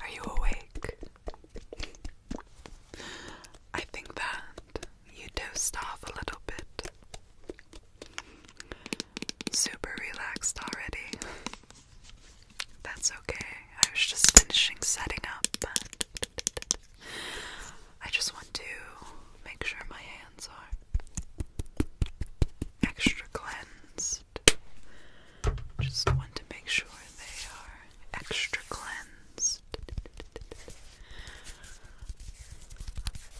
Are you awake? I think that you dozed off a little bit. Super relaxed already. That's okay. I was just finishing setting up, I just want to make sure my hands are extra cleansed just just want to make sure they are extra cleansed.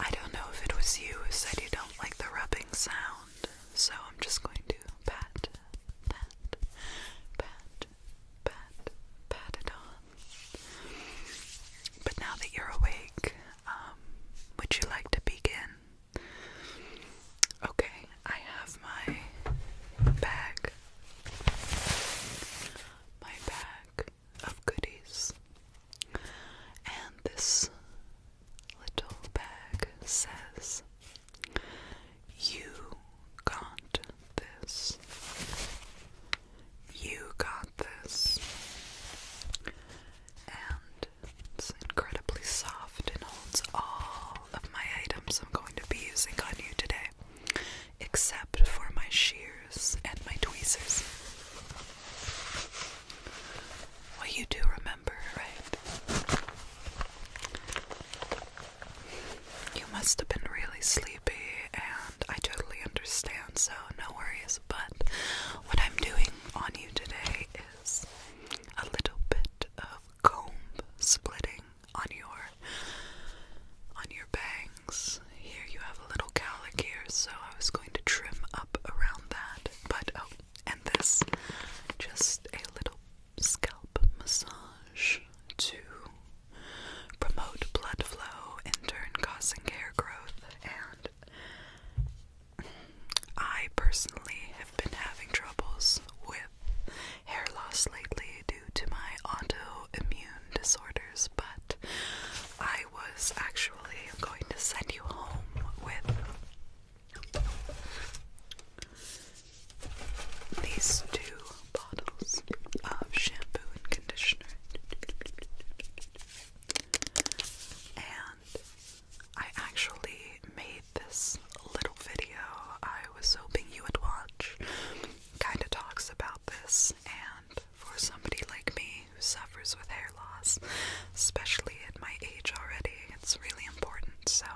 I don't know if it was you who said you don't like the rubbing sound, so I'm just going to pat, pat, pat, pat, pat it on. But now that you're awake, um, would you like to begin? Okay, I have my bag. My bag of goodies. And this little bag says, You got this. You got this. And it's incredibly soft and holds all of my items I'm going to be using on you today, except for my shears and my tweezers. Well, you do remember, right? You must have been really sleepy, and I totally understand, so no worries. But what I'm doing on you today a little bit of comb splitting on your on your bangs. Here you have a little cowlick here, so I was going to trim up around that. But oh, and this just a little scalp massage to promote blood flow, in turn causing hair growth and I personally have been having troubles with hair loss lately due to my autoimmune disorders, but I was actually going to send you home with these two bottles of shampoo and conditioner. And I actually made this little video I was hoping you would watch. Kinda talks about this, and for somebody like me who suffers with hair loss, especially at my age already, it's really important. So,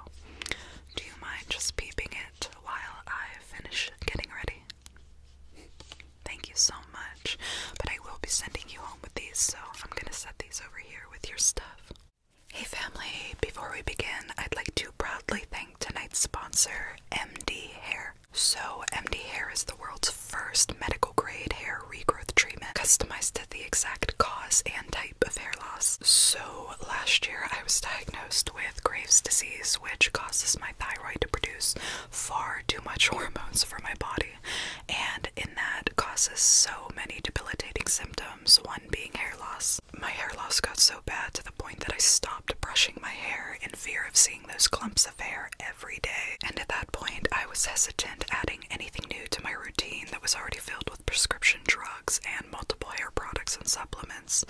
do you mind just peeping it while I finish getting ready? Thank you so much. But I will be sending you home with these, so I'm gonna set these over here with your stuff. Hey family, before we begin, I'd like to proudly thank tonight's sponsor, MD Hair. So, MD Hair is the world's first medical grade hair regrowth treatment customized to the exact cause and type of hair loss. So, last year I was diagnosed with Graves' disease, which causes my thyroid to produce far too much hormones for my body, and in that causes so many debilitating symptoms, one being hair loss. My hair loss got so bad to the point that I stopped brushing my hair in fear of seeing those clumps of hair every day, and at that point I was hesitant adding anything new to my routine that was already filled with prescription drugs and multiple hair products and supplements,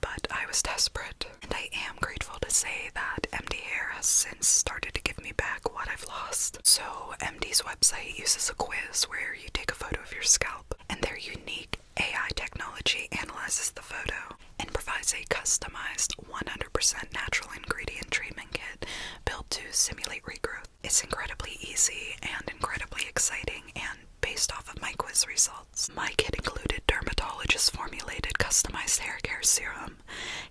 but I was desperate, and I am grateful to say that MD Hair has since started to give me back what I've lost. So, MD's website uses a quiz where you take a photo of your scalp, and their unique AI technology analyzes the photo and provides a customized 100% natural ingredient treatment kit built to simulate regrowth. It's incredibly easy and incredibly exciting, and based off of my quiz results. My kit included dermatologist formulated customized hair care serum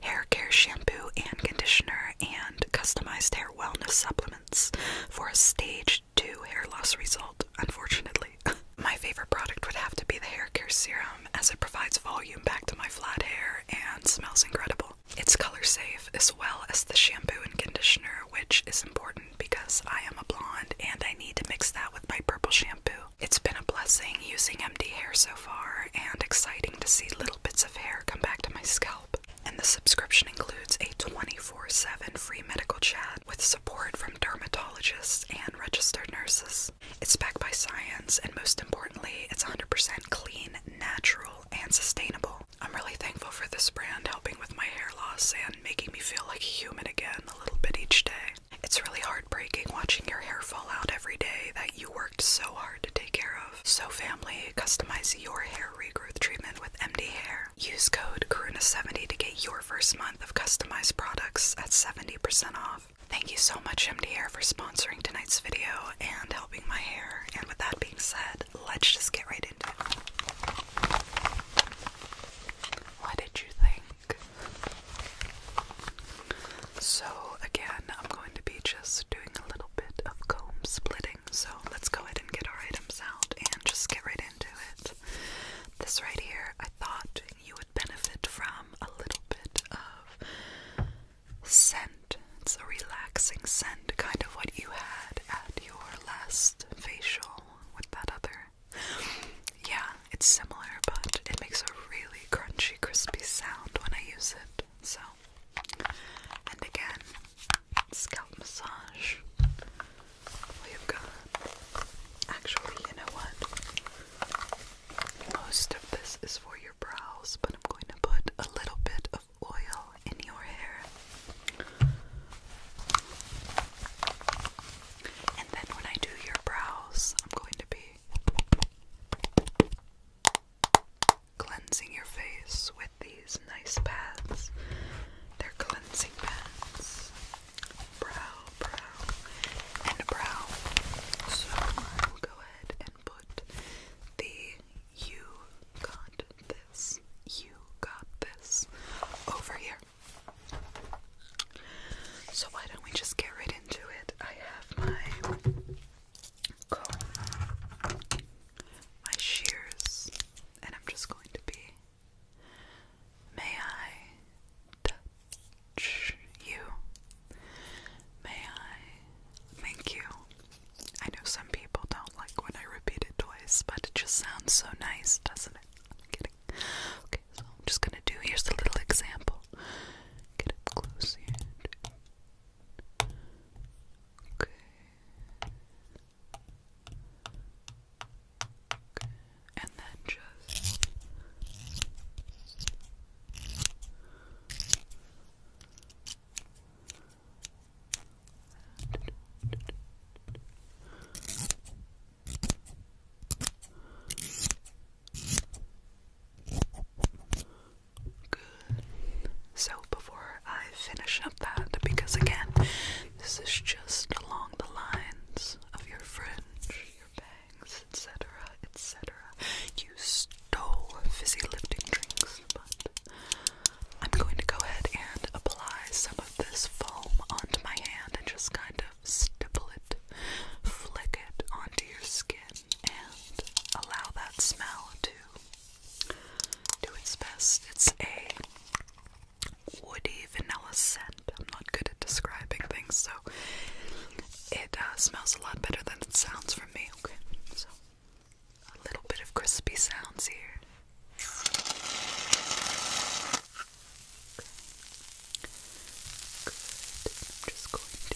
hair care shampoo and conditioner, and customized hair wellness supplements for a stage 2 hair loss result, unfortunately. my favorite product would have to be the hair care serum as it provides volume back to my flat hair and smells incredible. It's color safe as well as the shampoo and conditioner, which is important because I am a blonde and I need to mix that with my purple shampoo. It's been a blessing using MD Hair So far and exciting to see little bits of hair come back to my scalp. And the subscription includes a 24 7 free medical chat with support from dermatologists and registered nurses. It's backed by science, and most importantly, it's 100% clean, natural, and sustainable. I'm really thankful for this brand helping with my hair loss and making me feel like a human again a little bit each day. It's really heartbreaking watching your hair fall out every day that you worked so hard to take care of. So family, customize your hair regrowth treatment with MD Hair. Use code Karuna70 to get your first month of customized products at 70% off. Thank you so much MD Hair for sponsoring tonight's video and helping my hair. And with that being said, let's just get right into it. What did you think? So, again, I'm going to be just doing a little bit of comb splitting. So, let's go ahead and get our items out and just get right into it. This right here, I thought you would benefit from a little bit of scent. It's a relaxing scent, kind of what you had at your last facial with that other. Yeah, it's similar, but it makes a really crunchy, crispy sound when I use it. So, and again, scalp massage. We've got. Actually, you Most of this is for your brows, but I'm going to put a little bit of oil in your hair. And then when I do your brows, I'm going to be cleansing your face with these nice pads. They're cleansing pads. Brow, brow, and brow. So I'll go ahead and put the you got this, you got this over here. So why don't we just get right into it? I have my comb my shears, and I'm just going to be. May I touch you? May I thank you? I know some people don't like when I repeat it twice, but it just sounds so nice, doesn't it? I'm kidding. Okay, so I'm just gonna do here's a little example. Get up close here. Okay. Okay. And then just good. So before I finish up that, because again, this is just along the lines of your fringe, your bangs, etc., etc. You stole fizzy lifting drinks, but I'm going to go ahead and apply some of this foam onto my hand and just kind of stipple it, flick it onto your skin and allow that smell to do its best. It's a woody vanilla scent. I'm not good at describing things, so it uh, smells a lot better than it sounds from me. Okay, so a little bit of crispy sounds here. I'm just going to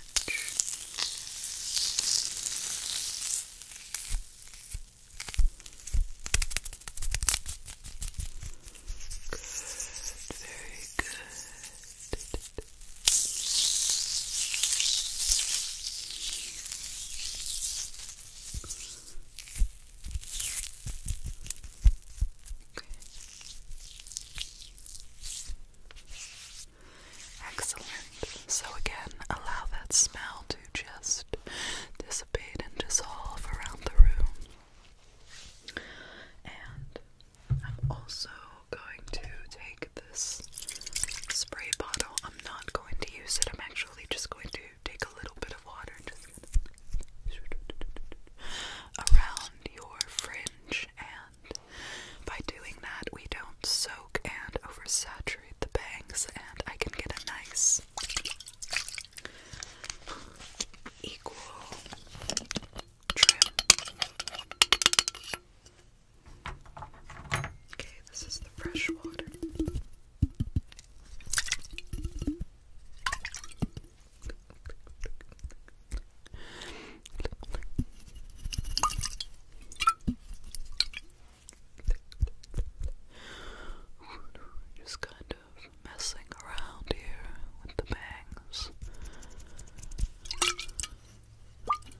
much. Good, very good. Okay. Excellent. So, again, allow that smell to just dissipate and dissolve around the room. And I'm also going to take this spray bottle. I'm not going to use it, I'm actually just going to take a little bit of water and just around your fringe and by doing that, we don't soak and oversaturate the bangs, and I can get a nice equal trim. Okay, this is the fresh water. Just kind of messing around here with the bangs.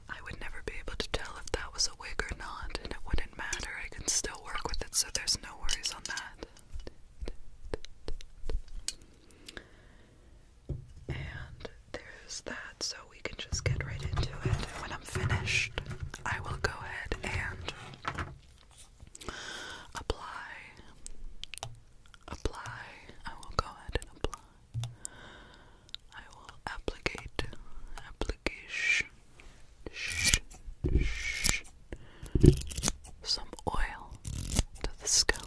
I would never be able to tell if that was a wig or not, and it wouldn't matter. I can still work with it, so there's no worries on that. And there's that, so we can just get right into it. And when I'm finished, I will go ahead and apply. Apply. I will go ahead and apply. I will applicate. Application. Shh, shh. Some oil to the scalp.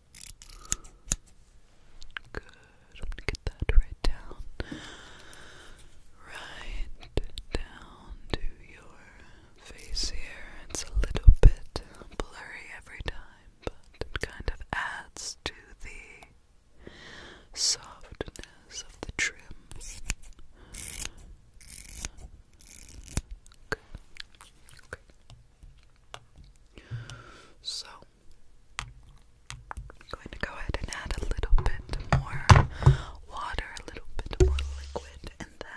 Good. get that right down. Right down to your face here. It's a little bit blurry every time, but it kind of adds to the softness of the trim. Okay. So I'm going to go ahead and add a little bit more water, a little bit more liquid, and then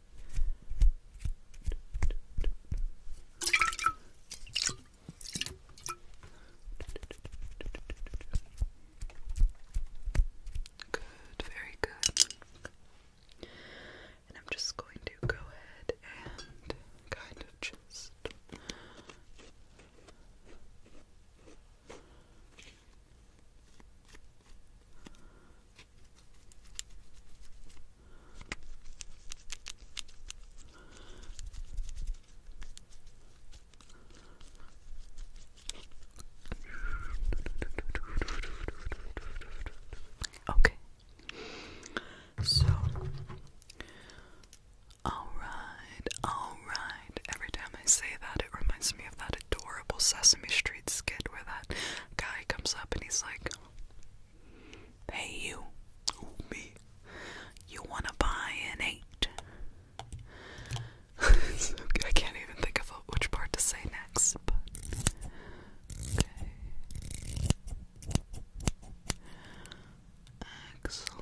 Good, very good. And I'm just going to go ahead and kind of just Okay. So all right, all right. Every time I say that, it reminds me of that adorable Sesame Street skit where that guy comes up and he's like, Hey you, me. You wanna buy an eight? I can't even think of which part to say next, but okay. Excellent.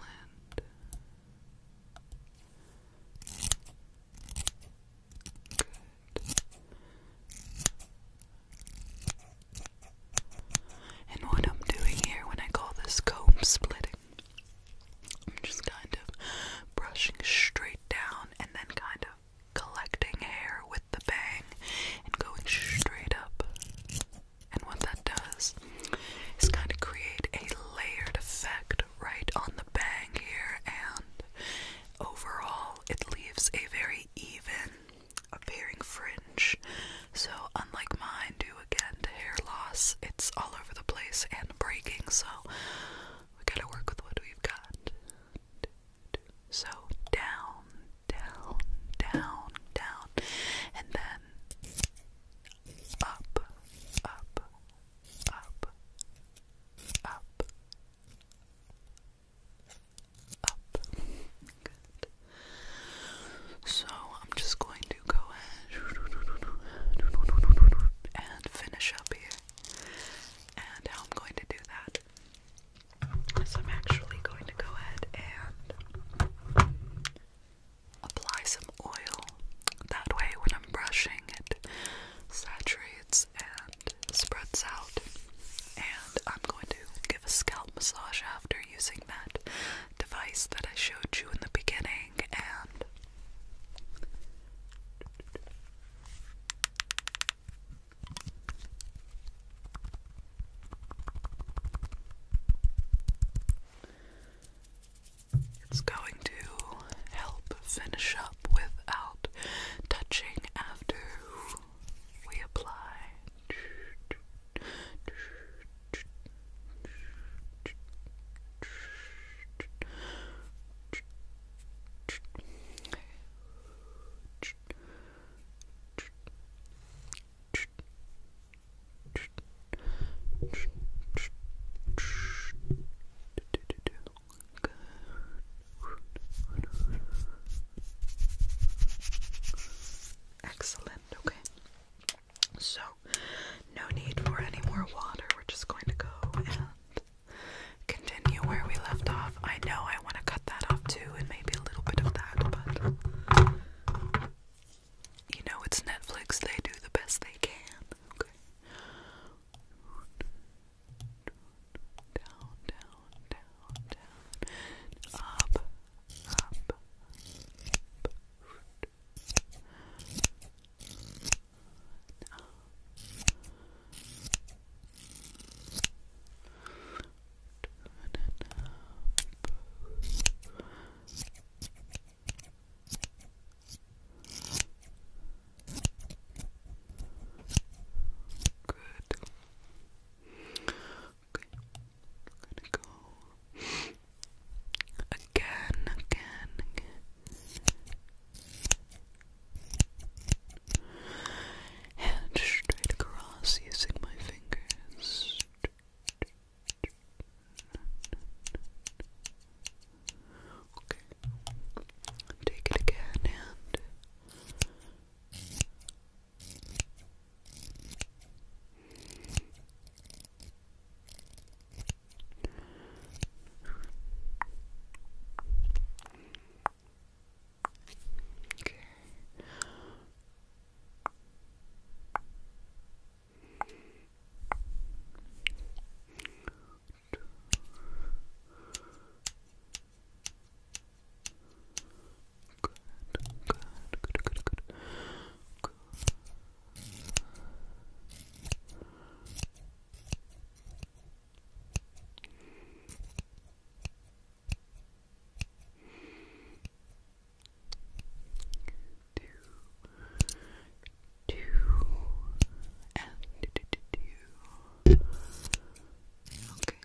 And what I'm doing here when I call this comb splitting, I'm just kind of brushing straight down and then kind of collecting hair with the bang and going straight up. And what that does is kind of create a layered effect right on the bang here, and overall, it leaves a very even appearing fringe. So, unlike mine, due again to hair loss, it's all over the place and breaking. So, we gotta work with what we've got. So, down, down, down, down, and then up, up, up, up, so I'm just going to go ahead and finish up here. And how I'm going to do that is I'm actually going to go ahead and apply some oil. That way, when I'm brushing, it saturate sides and spreads out. And I'm going to give a scalp massage after using that device that I showed you in the beginning and it's going to help finish up without touching after we apply Excellent, okay. So, no need for any more water. We're just going to go and continue where we left off. I know I want to cut that off too, and maybe a little bit of that, but you know, it's Netflix, they do the best they can. Okay down, down, down, down, up, up, Good I'm gonna go again, again, again. And straight across using my fingers. Okay. Take it again and Okay. Two. Good, good, good, good, good. Good. Two, two, and two. Okay,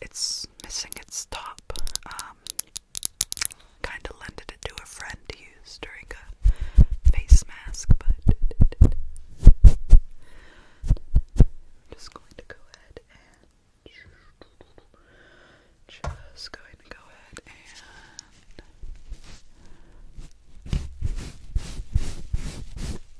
it's missing its top. Um, kind of lended it to a friend to use during a face mask, but just going to go ahead and just going to go ahead and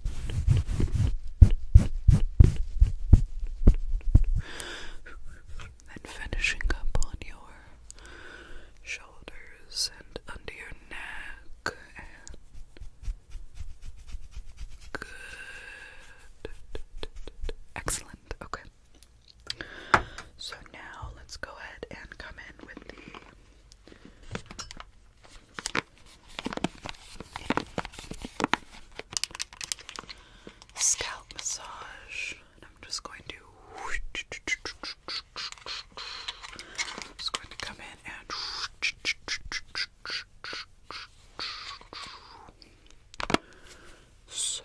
Then finishing up on your shoulders and under your neck. good. Excellent. Okay. So now let's go ahead and come in with the scalp massage. I'm just going to just going to come in and so.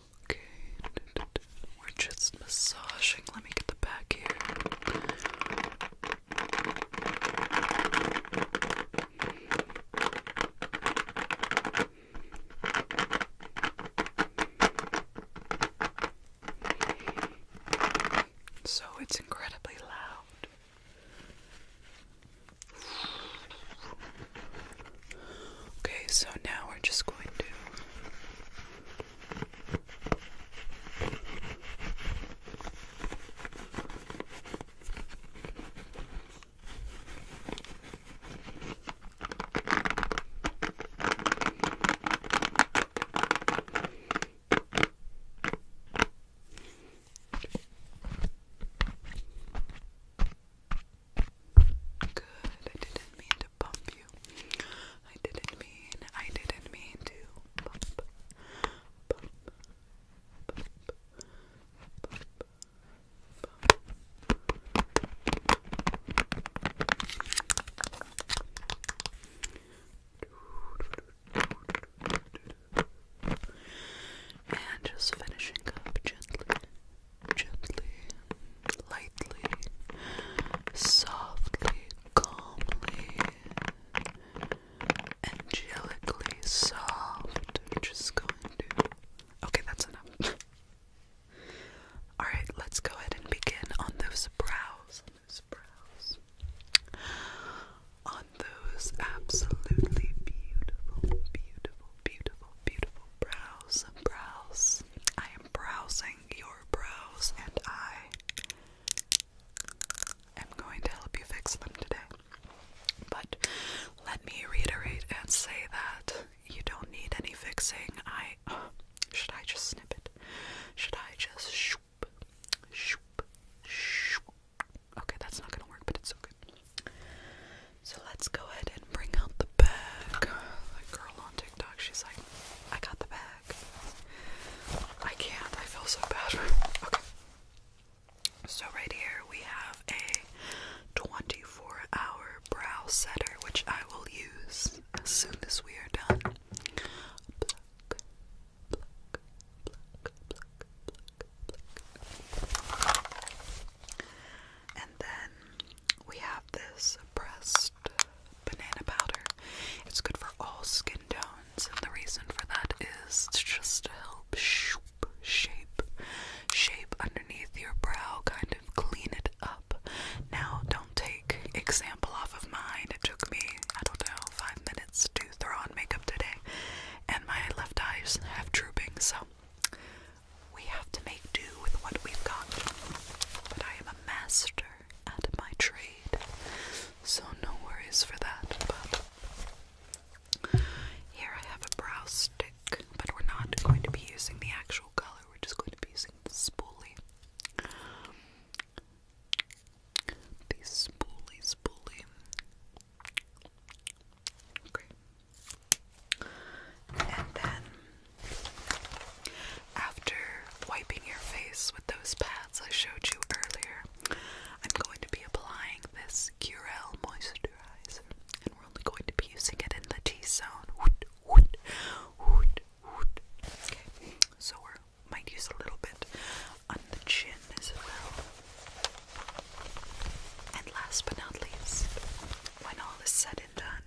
Okay, we're just massaging. Let me get the back here. So it's incredibly loud. Okay, so now we're just going to. Good. I didn't mean to bump you. I didn't mean, I didn't mean to bump, bump, bump, bump, bump. And just finishing up gently. Gently, gently, lightly, softly, calmly, angelically soft. just going to. Okay, that's enough. Alright, let's go ahead and begin on those brows. On those brows. On those absolutely beautiful, beautiful, beautiful, beautiful, Browse, brows. I am browsing your brows, and I am going to help you fix them today. But let me reiterate and say that you don't need any fixing. I should I just snip it? Should I just shoop, shoop, shoop? Okay, that's not gonna work, but it's okay. So let's go ahead and bring out the bag. That girl on TikTok, she's like, I got the bag. I can't, I feel so bad. Okay. So right here we have a 24-hour brow setter, which I will use as soon as we are done. And then we have this pressed banana powder. It's good for all skin tones, and the reason for that is it's just to help shape, shape underneath your brow, kind of clean it up. Now, don't take example off of mine. It took me, I don't know, five minutes to throw on makeup today, and my left eyes have drooping, so we have to make do with what we've got. But I am a master at my trade, so no worries for that. But here I have a brow stick, but we're not going to be using the actual color, we're just going to be using the spoolie. The spoolie, spoolie. Okay. And then after wiping your face with those pads I showed you earlier, I'm going to be applying this Curel moisturizer and we're only going to be using it in the T-zone. Okay, so we might use a little bit on the chin as well. And last but not least, when all is said and done,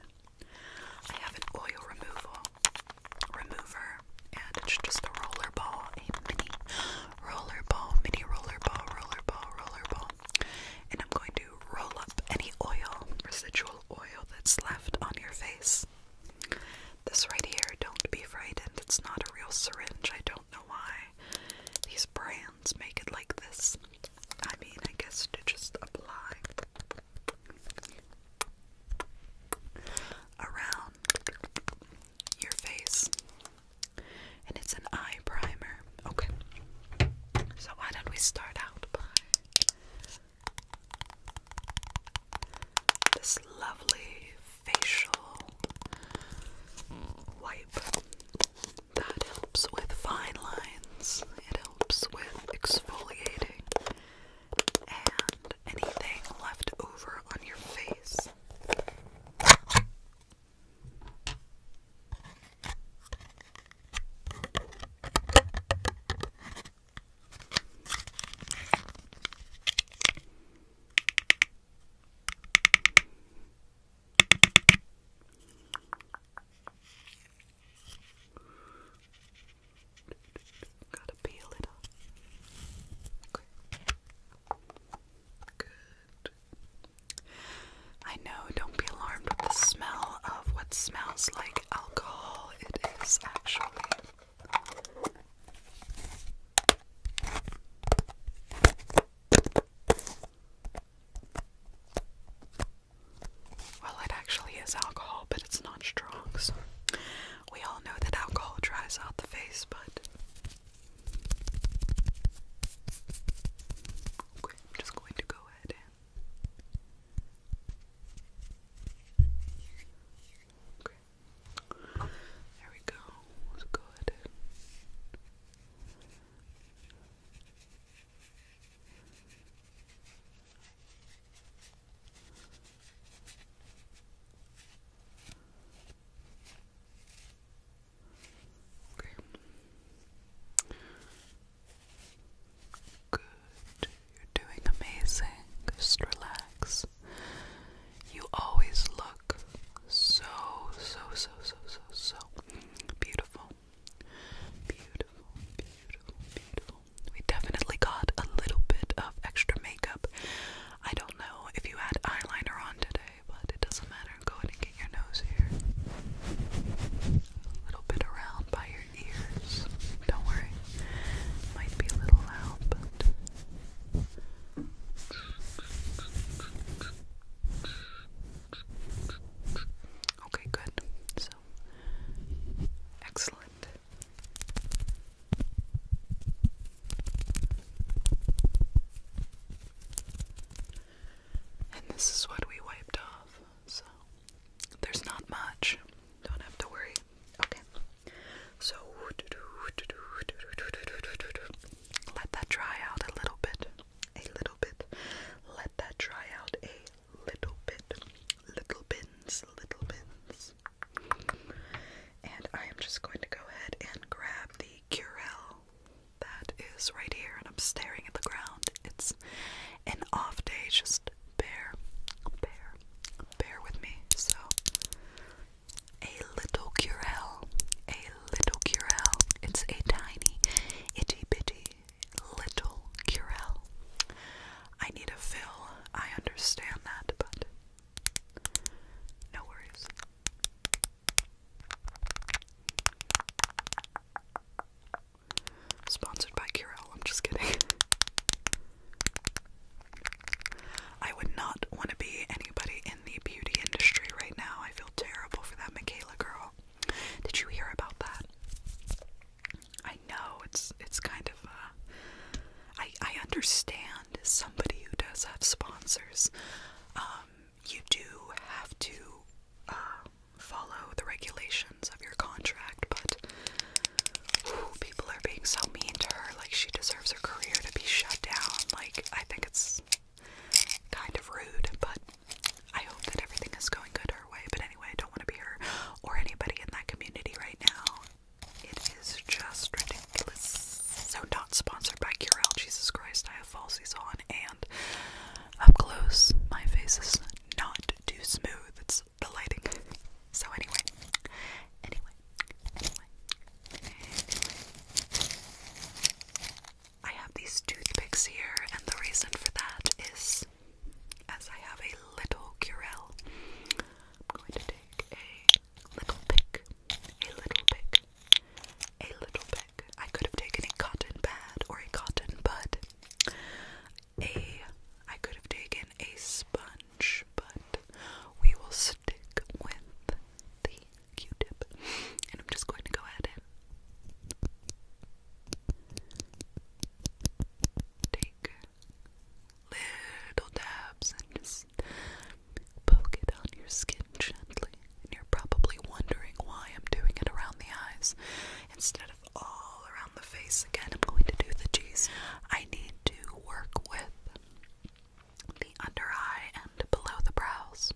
I have an oil removal remover and it's just a roller ball, a mini roller ball, mini roller ball, roller ball, roller ball. And I'm going to roll up any oil, residual oil that's left on your face. This right here, don't be frightened, it's not a real syringe. I don't know why these brands hands make it like this. I mean, I guess to just apply around your face. And it's an eye primer. Okay. So, why don't we start out by this lovely facial wipe? That helps with fine lines, it helps with exfoliating, and anything left over on your face. Gotta peel it up. Good. I know, don't be alarmed with the smell of what smells like alcohol. It is actually. Well, it actually is alcohol, but it's not strong, so we all know that alcohol dries out the face, but. Okay, I'm just going to go ahead and. Okay. There we go. Let's Okay. Good. You're doing amazing. Just relax. You always look so, so, so, so, so, so beautiful. Beautiful, beautiful, beautiful. We definitely got a little bit of extra makeup. I don't know if you had eyeliner on today, but it doesn't matter. Go ahead and get your nose here. A little bit around by your ears. Don't worry. Might be a little loud, but Okay, good. So, excellent. And this is what we wiped off. So, there's not much. Don't have to worry. Okay. So, let that dry out a little bit a little bit. Let that dry out a little bit. Little bins, little bins. And I am just going to go ahead and grab the Curel that is right here, and I'm staring at the ground. It's an off day, just bear, bear, bear with me. So, a little Curel, a little Curel. It's a tiny, itty bitty little Curel. I need a fill, I understand that, but no worries. Sponsored by Curel, I'm just kidding. I would not want to be anybody in the beauty industry right now. I feel terrible for that Michaela girl. Did you hear about that? I know it's it's kind of uh, I I understand somebody who does have sponsors. Um, you do have to uh, follow the regulations of your contract, but whew, people are being so mean to her. Like she deserves her career to be shut down. Like I think it's kind of rude, but I hope that everything is going good her way. But anyway, I don't want to be her or anybody in that community right now. It is just ridiculous. So, not sponsored by Curel. Jesus Christ, I have falsies on, and up close, my face is not too smooth. It's the lighting. So, anyway, anyway. I have these toothpicks here, and the reason for that is as I have a little curel, I'm going to take a little pick, a little pick, a little pick. I could have taken a cotton pad or a cotton bud. A, I could have taken a sponge, but we will stick with the Q-tip, and I'm just going to go ahead and take little dabs and just poke it on your skin gently. And you're probably wondering why I'm doing it around the eyes instead of all around the face. Again, I'm going to do the G's. I need to work with the under eye and below the brows.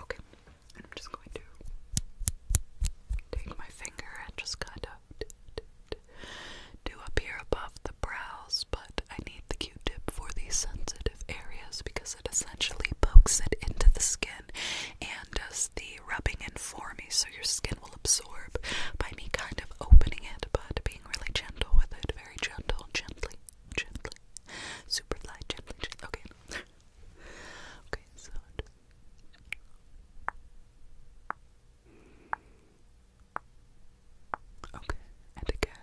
Okay, and I'm just going to take my finger and just kind of do up here above the brows, but I need the Q-tip for these sensitive areas because because essentially pokes it into the skin and does the rubbing in for me so your skin will absorb by me kind of opening it but being really gentle with it. Very gentle, gently, gently. Super light, gently, Okay. okay, so. Okay, and again.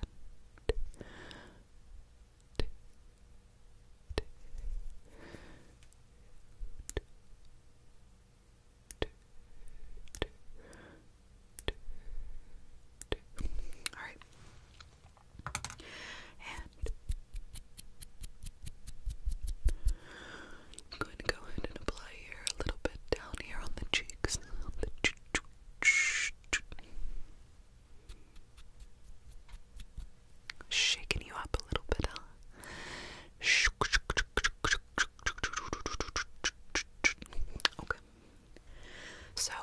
Okay, all right. And I'm going to go ahead and apply here a little bit down here on the cheeks. On the ch ch ch ch Shaking you up a little bit, huh? Okay. So,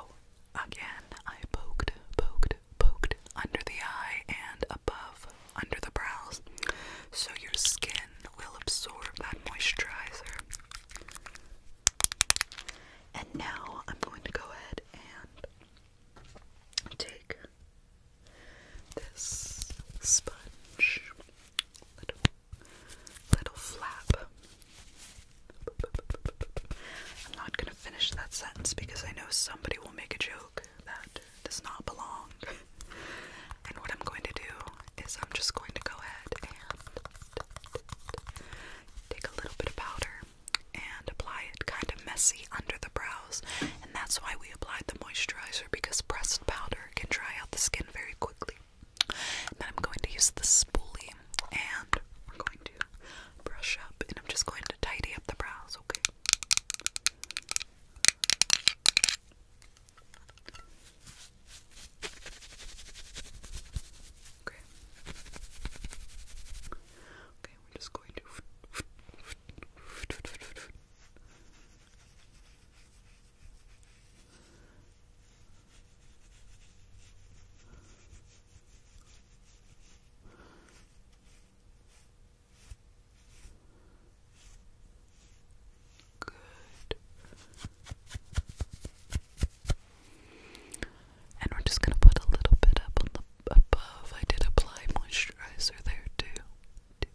again, I poked, poked, poked under the eye and above, under the brows, so your skin will absorb that moisturizer. And now I'm going to go ahead and take this sponge little flap. I'm not going to finish that sentence because I know somebody will make a joke that does not belong. and what I'm going to do is I'm just going to go ahead and take a little bit of powder and apply it kind of messy under the brows. And that's why we applied the moisturizer because pressed powder can dry out the skin very quickly. then I'm going to use the spoolie and we're going to brush up and I'm just going to tidy up the brows, okay? Okay. Okay, we're just going to. Good. And we're just gonna put a little bit up on the above. I did apply moisturizer there too.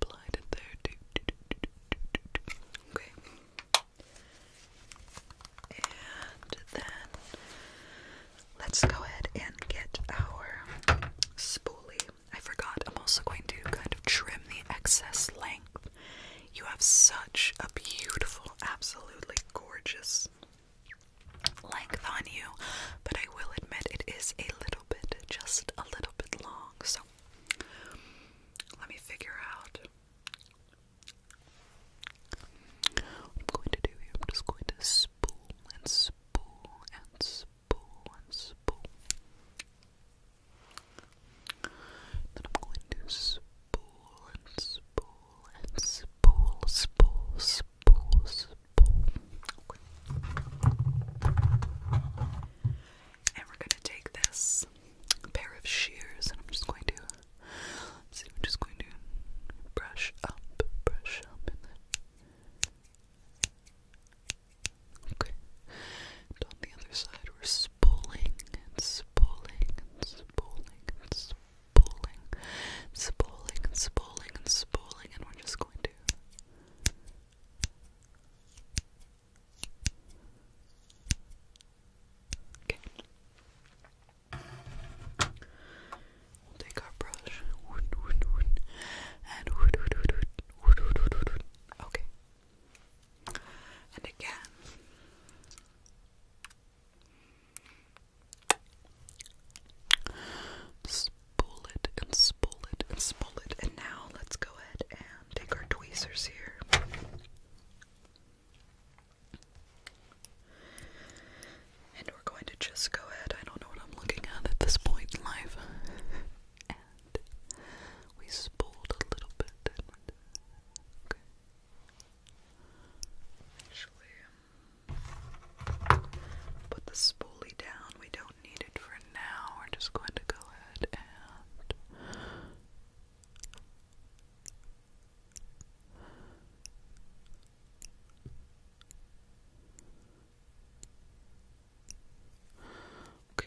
Applied it there Okay. And then let's go ahead and get our spoolie. I forgot, I'm also going to kind of trim the excess length you have such a beautiful, absolutely gorgeous length on you, but I will admit it is a little bit, just a little bit long. So let me figure out I'm going to do I'm just going to spool and spool and spool and spool. Then I'm going to spool and spool and spool, spool, spool, spool. And we're gonna take this pair of shears, and I'm just going to let I'm just going to brush up, brush up, and then okay. And on the other side, we're spooling and spooling and spooling and spooling spooling, spooling, and spooling, and spooling, and we're just going to. Okay. We'll take our brush. And okay. And again, Spool it and spool it and spool it. And now let's go ahead and take our tweezers here. And we're going to just go ahead, I don't know what I'm looking at at this point in life. and we spooled a little bit. Actually, um, put the spoolie down. We don't need it for now. We're just going to go ahead and Okay.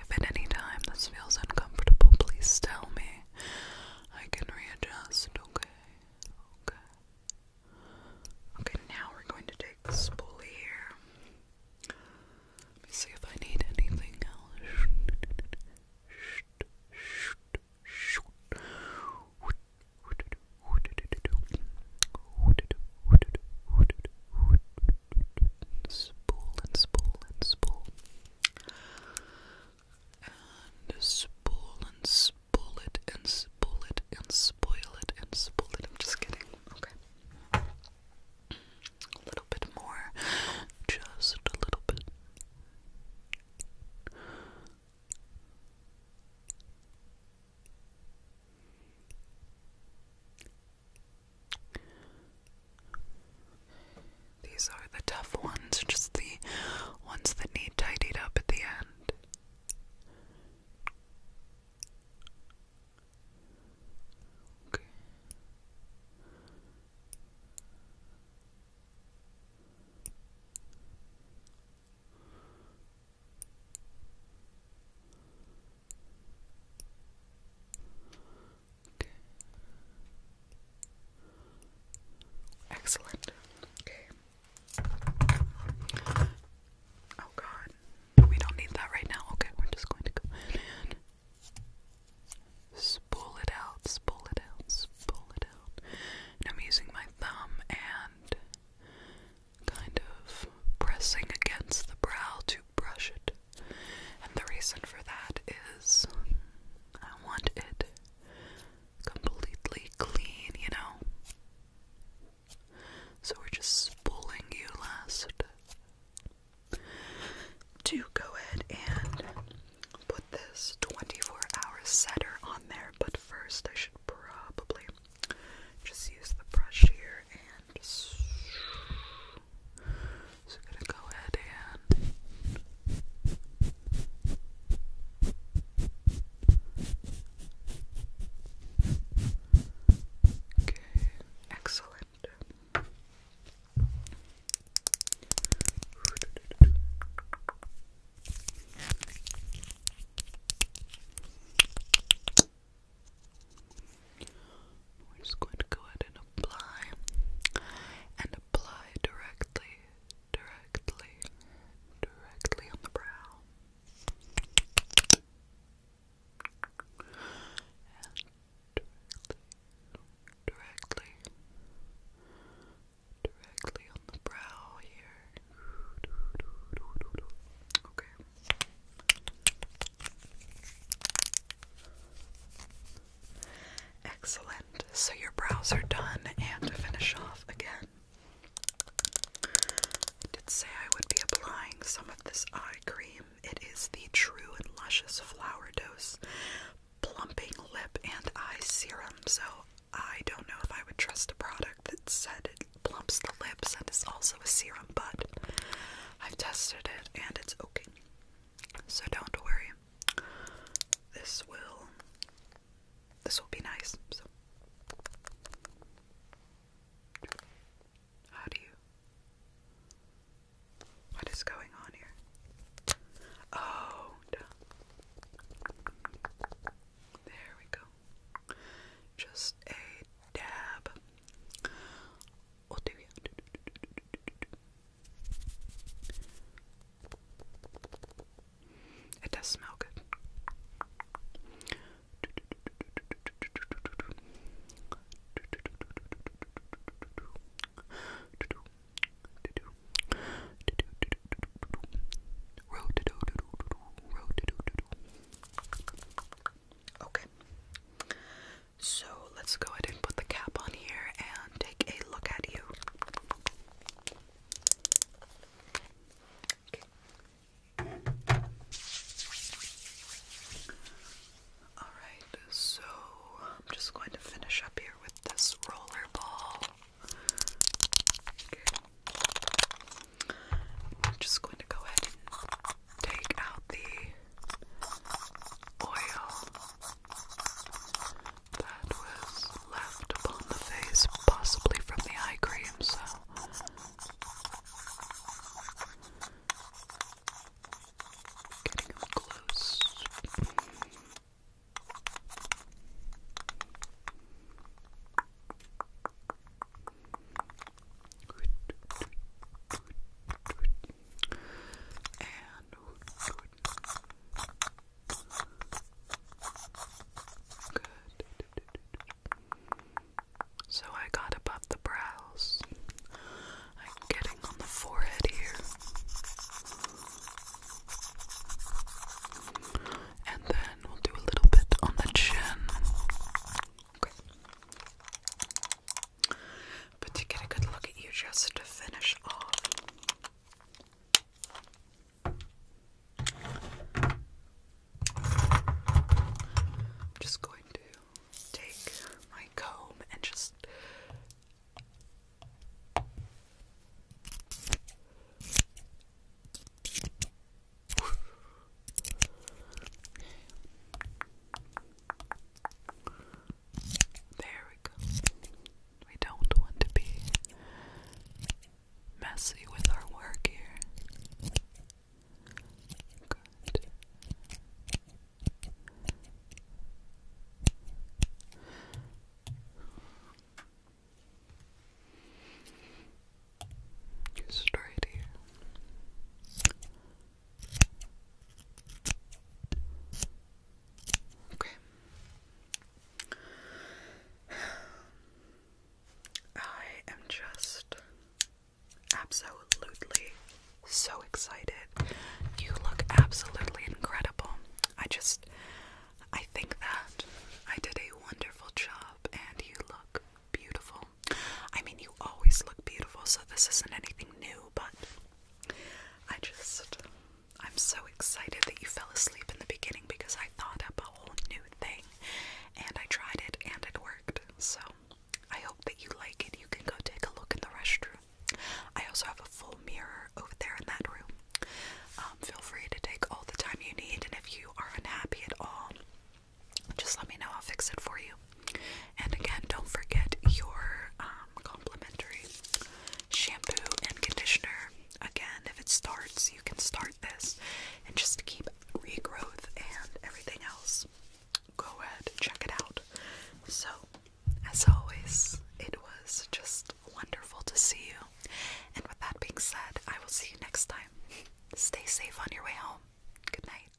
If at any time this feels uncomfortable, please tell me. I can readjust, okay? Okay. Okay, now we're going to take the spoolie here. Let me see if I need anything else and spool and spool and spool. And spool and spool it and spool it and spoil it and spool it. I'm just kidding. Okay. A little bit more. Just a little bit. These are the tough ones, just the ones that need tidied up at the end. Excellent. Okay. Oh god. We don't need that right now. Okay, we're just going to go spool it out, spool it out, spool it out. I'm using my thumb and kind of pressing against the brow to brush it. And the reason for that is I want it completely clean, you know? So we're just spooling you last. to go ahead and put this 24 hour setter on there, but first I should probably just use the brush here and so gonna go ahead and okay, excellent. We're just going to go ahead and apply and apply directly, directly, directly on the brow. And directly, directly, on the brow here. Okay. Excellent. So your brows are done, and to finish off again, I did say I would be applying some of this eye cream. It is the True and Luscious Flower Dose Plumping Lip and Eye Serum. So I don't know if I would trust a product that said it plumps the lips and is also a serum, but I've tested it and it's okay. So don't worry. This will this will be nice. So how do you what is going on here? Oh, there we go. Just a dab. It does smell good. Okay. So let's go ahead and put the cap on here and take a look at you. Alright, so I'm just going to finish up here with this roller I'm just going to go ahead and take out the oil that was left upon the face, possibly from the eye cream, so. Getting up close. So I got above the brows. I'm getting on the forehead here. And then we'll do a little bit on the chin. But to get a good look at you just to finish off. I'm just going to take my comb and just there we go. We don't want to be messy with our work here. Good. Straight here. Okay. I am just absolutely so excited. You look absolutely incredible. I just I think that I did a wonderful job and you look beautiful. I mean, you always look beautiful, so this isn't anything new, but I just, I'm so excited that you fell asleep in the beginning because I thought up a whole new thing and I tried it and it worked. So I hope that you like it. You can go take a look in the restroom. I also have a full mirror over there in that room. Um, feel free to take all the time you need, and if you are unhappy at all, just let me know. I'll fix it for you. And again, don't forget your um, complimentary shampoo and conditioner. Again, if it starts, you can start this and just keep regrowth and everything else. Go ahead, check it out. So, as always, it was just wonderful to see you. And with that being said, I will see you next time. Stay safe on your way home. Good night.